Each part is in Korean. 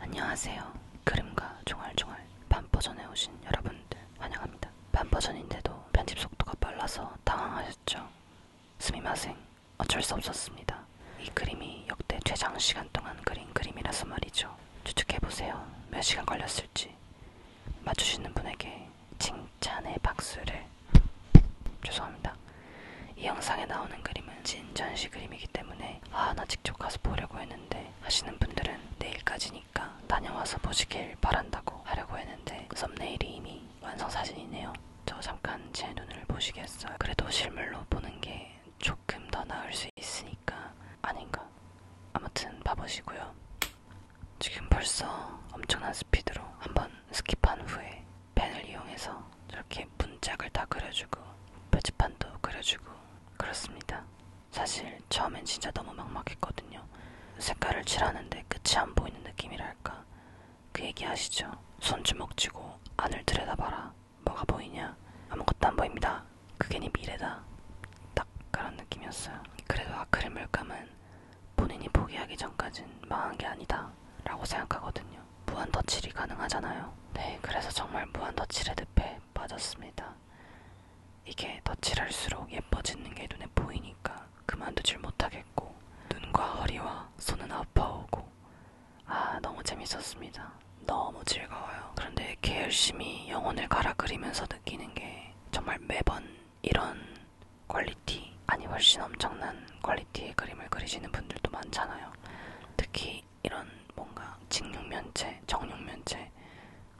안녕하세요. 그림과 종알종알 반버전에 오신 여러분들 환영합니다. 반버전인데도 편집 속도가 빨라서 당황하셨죠? 스미마생 어쩔 수 없었습니다. 이 그림이 역대 최장 시간 동안 그린 그림이라서 말이죠. 추측해보세요. 몇 시간 걸렸을지. 맞추시는 분에게 칭찬의 박수를 죄송합니다. 이 영상에 나오는 그림은 진전시 그림이기 때문에 아, 나 직접 가서 보려고 했는데 하시는 분들은 내일까지니까 다녀와서 보시길 바란다고 하려고 했는데 썸네일이 이미 완성 사진이네요. 저 잠깐 제 눈을 보시겠어요. 그래도 실물로 보는 게 조금 더 나을 수 있으니까 아닌가. 아무튼 봐보시고요. 지금 벌써 엄청난 스피드로 한번 스킵한 후에 펜을 이용해서 저렇게 문짝을 다 그려주고 표지판도 그려주고 그렇습니다. 사실 처음엔 진짜 너무 막막했거든요. 색깔을 칠하는데 끝이 안 보이는 느낌이랄까. 그 얘기 아시죠? 손주먹 쥐고 안을 들여다봐라. 뭐가 보이냐? 아무것도 안 보입니다. 그게 네 미래다. 딱 그런 느낌이었어요. 그래도 아크릴 물감은 본인이 포기하기 전까진 망한 게 아니다. 라고 생각하거든요. 있거든요. 무한 덧칠이 가능하잖아요. 네, 그래서 정말 무한 덧칠의 늪에 빠졌습니다. 이게 덧칠할수록 예뻐지는 게 눈에 보이니까 그만두질 못하겠고 눈과 허리와 손은 아파오고 아 너무 재밌었습니다. 너무 즐거워요. 그런데 이렇게 열심히 영혼을 갈아 그리면서 느끼는 게 정말 매번 이런 퀄리티 아니 훨씬 엄청난 퀄리티의 그림을 그리시는 분들도 많잖아요. 특히 이런 뭔가 직육면체, 정육면체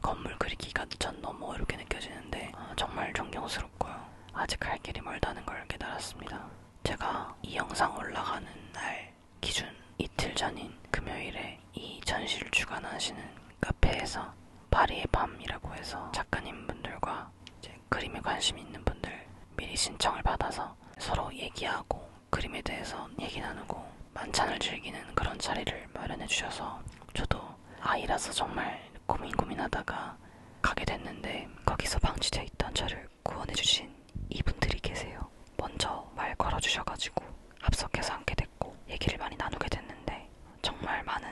건물 그리기가 전 너무 어렵게 느껴지는데 아, 정말 존경스럽고요. 아직 할 길이 멀다는 걸 깨달았습니다. 제가 이 영상 올라가는 날 기준 이틀 전인 금요일에 이 전시를 주관하시는 카페에서 파리의 밤이라고 해서 작가님 분들과 이제 그림에 관심 있는 분들 미리 신청을 받아서 서로 얘기하고 그림에 대해서 얘기 나누고 만찬을 즐기는 그런 자리를 마련해 주셔서 저도 아이라서 정말 고민 고민하다가 가게 됐는데 거기서 방치돼 있던 저를 구원해 주신 이분들이 계세요. 먼저 말 걸어 주셔가지고 합석해서 함께 됐고 얘기를 많이 나누게 됐는데 정말 많은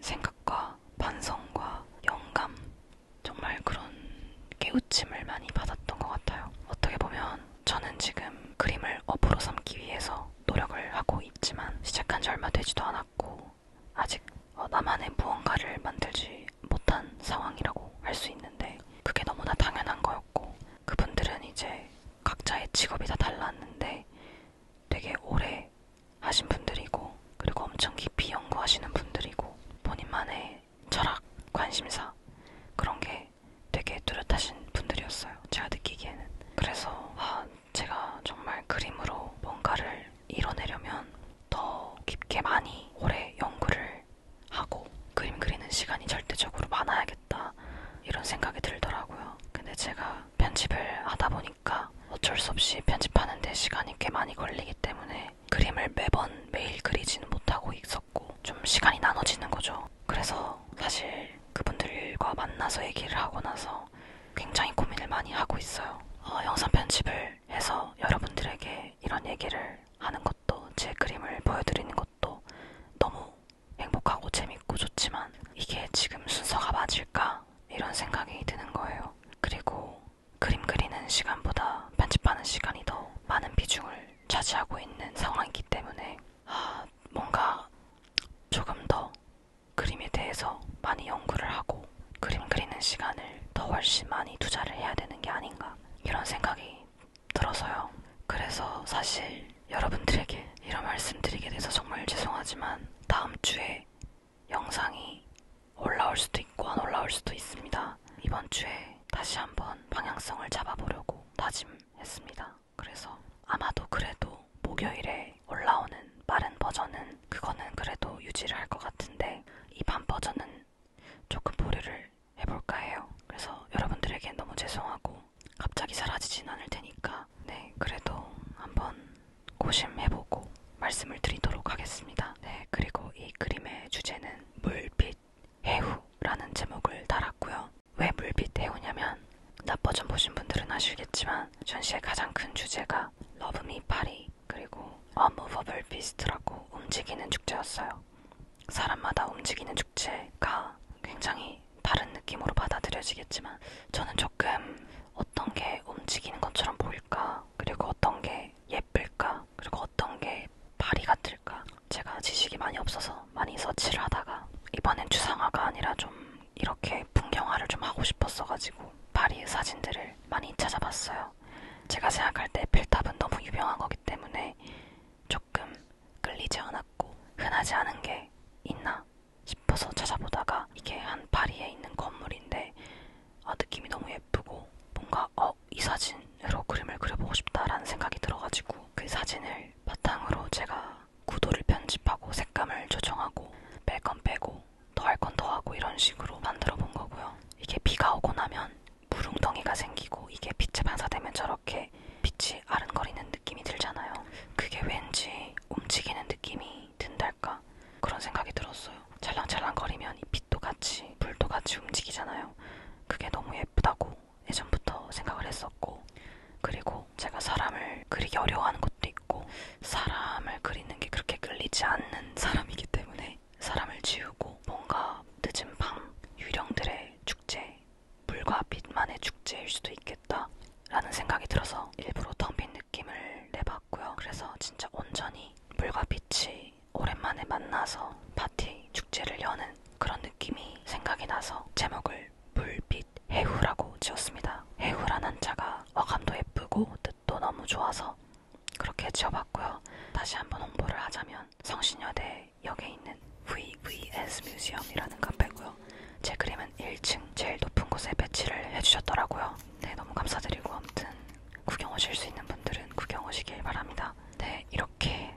생각과 반성과 영감, 정말 그런 깨우침을 많이 받았던 것 같아요. 어떻게 보면 저는 지금 그림을 업으로 삼기 위해서 노력을 하고 있지만 시작한 지 얼마 되지도 않았고 아직 어, 나만의 무언가를 만들지 못한 상황이라고 할 수 있는데 그게 너무나 당연한 거였고 그분들은 이제 각자의 직업이 다 달랐는데 되게 오래 하신 분들이고 그리고 엄청 깊이 연구하시는 분들이고 본인만의 철학, 관심사 그런 게 되게 뚜렷하신 분들이었어요. 제가 느끼기에는. 그래서 아, 제가 정말 그림으로 뭔가를 이뤄내려면 더 깊게 많이 오래 연구를 하고 그림 그리는 시간이 절대적으로 많아야겠다. 해야겠다 이런 생각이 들더라고요. 근데 제가 편집을 하다 보니까 어쩔 수 없이 편집하는데 시간이 꽤 많이 걸리기 때문에 그림을 매번 매일 그리지는 못하고 있었고 좀 시간이 나눠지는 거죠. 그래서 사실 그분들과 만나서 얘기를 하고 나서 굉장히 고민을 많이 하고 있어요. 어, 영상 편집을 해서 여러분들에게 이런 얘기를 하는 것도 제 그림을 보여드리는 것도 너무 행복하고 재밌고 좋지만 이게 지금 순서가 맞을까? 이런 생각이 드는 거예요. 그리고 그림 그리는 시간보다 편집하는 시간이 더 많은 비중을 차지하고 있는 상황이기 때문에 아, 뭔가 조금 더 그림에 대해서 많이 연구를 하고 그림 그리는 시간을 더 훨씬 많이 투자를 해야 되는 게 아닌가 이런 생각이 들어서요. 그래서 사실 여러분들에게 이런 말씀드리게 돼서 정말 죄송하지만 다음 주에 영상이 올라올 수도 있고 안 올라올 수도 있습니다. 이번 주에 다시 한번 방향성을 잡아보려고 다짐했습니다. 그래서 아마도 그래도 목요일에 올라오는 빠른 버전은 그거는 그래도 유지를 할 것 같은데 이밤 버전은 조금 보류를 해볼까 해요. 그래서 여러분들에게 너무 죄송하고 갑자기 사라지진 않을 테니까 네 그래도 한번 고심해보고 말씀을 드리도록 하겠습니다. 네 그리고 이 그림의 주제는 물빛 해후라는 제목을 달았고요. 왜 물빛 해후냐면 낯 버전 보신 분들은 아시겠지만 전시의 가장 큰 주제가 러브미 파리 그리고 어무버블 비스트라고 움직이는 축제였어요. 사람마다 움직이는 축제가 굉장히 다른 느낌으로 받아들여지겠지만 저는 조금 어떤 게 움직이는 것처럼 보일까 그리고 어떤 게 예쁠까 그리고 어떤 게 파리 같을까 제가 지식이 많이 없어서 많이 서치를 하다가 이번엔 추상화가 아니라 좀 이렇게 풍경화를 좀 하고 싶었어가지고 파리의 사진들을 많이 찾아봤어요. 제가 생각할 때 필탑은 너무 유명한 거기 때문에 조금 끌리지 않았고 흔하지 않은 게 있나 싶어서 찾아보다가 이게 한 파리에 있는 건물인데 아, 느낌이 너무 예쁘고 뭔가 어, 이 사진으로 그림을 그려보고 싶다라는 생각이 들어가지고 그 사진을 바탕으로 제가 구도를 편집하고 색감을 조정하고 뺄 건 빼고 더할건더 하고 이런 식으로 만들어 본 거고요. 이게 비가 오고 나면 물웅덩이가 생기고 이게 빛에 반사되면 저렇게 빛이 아른거리는 느낌이 들잖아요. 그게 왠지 움직이는 느낌이 든달까 그런 생각이 들었어요. 찰랑찰랑거리면 이 빛도 같이 불도 같이 움직이잖아요. 그게 너무 예쁘다고 예전부터 생각을 했었고 그리고 제가 사람을 그리기 어려워하는 것도 있고 사람을 그리는 게 그렇게 끌리지 않는 사람이기 때문에 사람을 지우고 뭔가 늦은 밤 유령들의 축제, 물과 빛만의 축제일 수도 있겠다 라는 생각이 들어서 일부러 텅 빈 느낌을 내봤고요. 그래서 진짜 온전히 물과 빛이 오랜만에 만나서 파티, 축제를 여는 그런 느낌이 생각이 나서 제목을 물빛 해후라고 지었습니다. 해후란 한자가 어감도 예쁘고 뜻도 너무 좋아서 그렇게 지어봤고요. 다시 한번 홍보를 하자면 성신여대 역에 있는 VVS 뮤지엄이라는 카페고요. 제 그림은 1층 제일 높은 곳에 배치를 해주셨더라고요. 네, 너무 감사드리고 아무튼 구경 오실 수 있는 분들은 구경 오시길 바랍니다. 네, 이렇게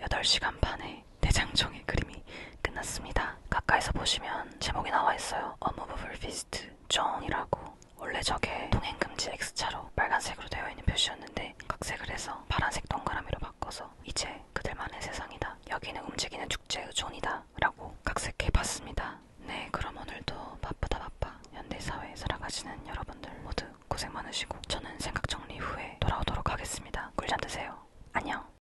8시간 반에 대장정의 그림이 끝났습니다. 가까이서 보시면 제목이 나와 있어요. Unmovable Fist 정이라고 원래 저게 통행금지 X차로 빨간색으로 되어 있는 표시였는데 각색을 해서 파란색 동그라미로 바꿔서 이제 그들만의 세상이다. 여기는 움직이는 축제의 존이다. 라고 각색해 봤습니다. 네, 그럼 오늘도 바쁘다 바빠 현대사회에 살아가시는 여러분들 모두 고생 많으시고 저는 생각 정리 후에 돌아오도록 하겠습니다. 꿀잠 드세요. 안녕.